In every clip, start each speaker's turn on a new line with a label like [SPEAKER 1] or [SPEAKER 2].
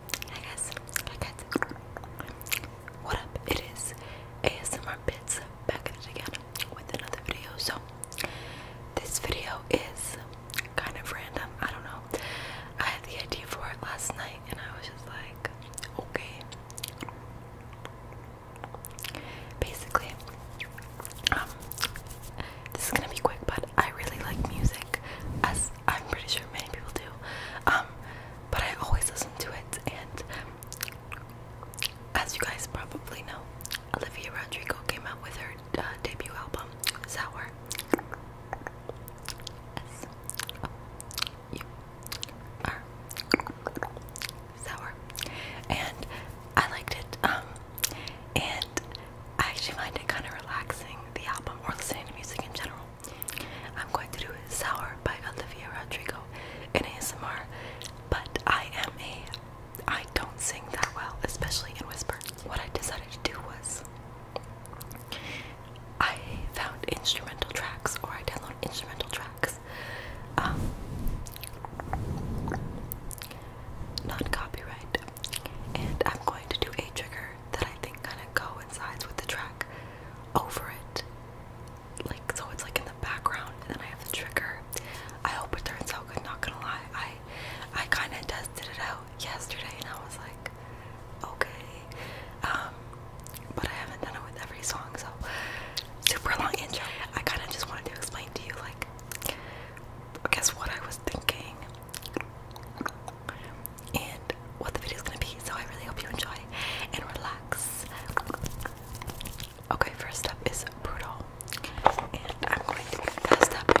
[SPEAKER 1] Hi guys, What up? It is ASMR Bits back again with another video. So this video is kind of random. I don't know. I had the idea for it last night and I was just like, okay. Basically, um, this is gonna be quick, but I really like music as I'm pretty sure many people do. Um, but I always listen to it, and as you guys probably know, Olivia Rodrigo came out with her uh, debut album, Sour. S -O -U -R. Sour. And I liked it. Um, and I actually find it kind of relaxing, the album, or listening to music in general. I'm going to do Sour by Olivia Rodrigo in ASMR, but I am a, I don't sing that well, especially in whisper. What I decided to do was, I found instrumental tracks, or I downloaded instrumental tracks, um, not copyright, and I'm going to do a trigger that I think kind of coincides with the track over it. Like so, it's like in the background, and then I have the trigger. I hope it turns out good. Not gonna lie, I I kind of tested it out yesterday, and I was like, okay, um, but I haven't done it with every song, so super long intro. I kind of just wanted to explain to you, like, guess what I was thinking and what the video is gonna be. So I really hope you enjoy and relax. Okay, first up is brutal, and I'm going to get that step.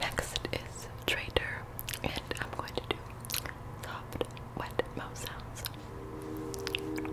[SPEAKER 1] Next is Trader, and I'm going to do soft wet mouth sounds. Thank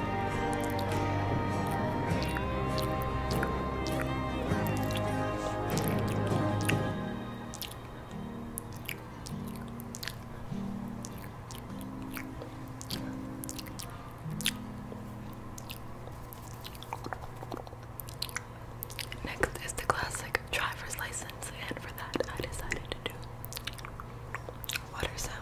[SPEAKER 1] Next is the classic driver's license, and for that I decided to do water sounds.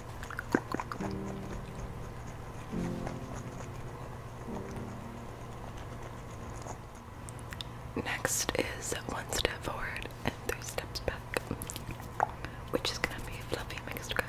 [SPEAKER 1] Next is one step forward and three steps back, which is going to be fluffy mixed crunchy.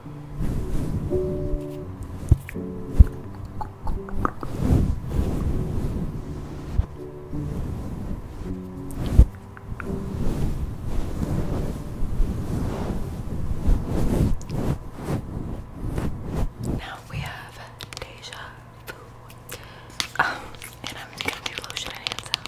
[SPEAKER 1] Now we have Deja Vu. Um, and I'm gonna do lotion and hand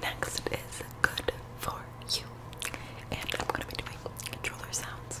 [SPEAKER 1] Next is good for you. And I'm going to be doing controller sounds.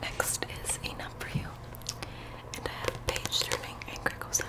[SPEAKER 1] Next is Enough for You, and I have page turning and crinkle sounds.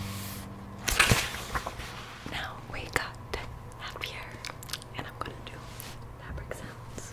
[SPEAKER 1] Now we got happier, and I'm gonna do fabric sounds.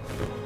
[SPEAKER 1] Don't be happy.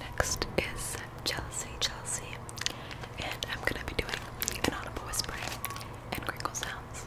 [SPEAKER 1] Next is Chelsea, Chelsea, and I'm gonna be doing an audible whispering and crinkle sounds.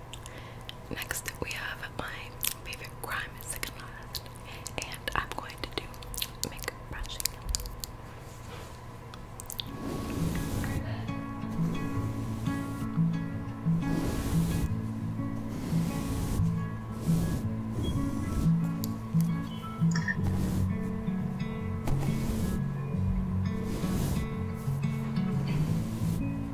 [SPEAKER 1] Next, we have my favorite crime, second last, and I'm going to do makeup brushing.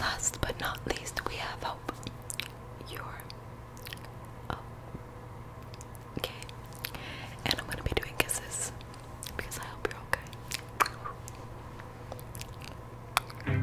[SPEAKER 1] Last but not least, we have hope. Your oh. Okay. And I'm gonna be doing kisses because I hope you're okay.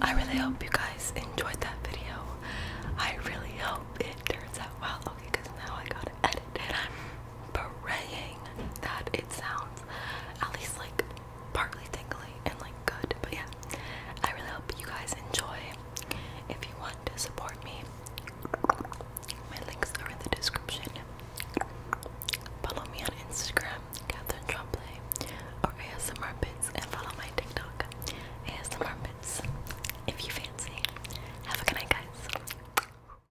[SPEAKER 1] I really hope you guys enjoyed that video. I really hope it turns out well. Okay, because now I gotta edit it praying that it sounds at least like partly tingly and like good. But yeah, I really hope you guys enjoy. If you want to support me, my links are in the description. Follow me on Instagram, Catherine Trombley, or ASMRbits, and follow my TikTok, ASMRbits, if you fancy. Have a good night, guys.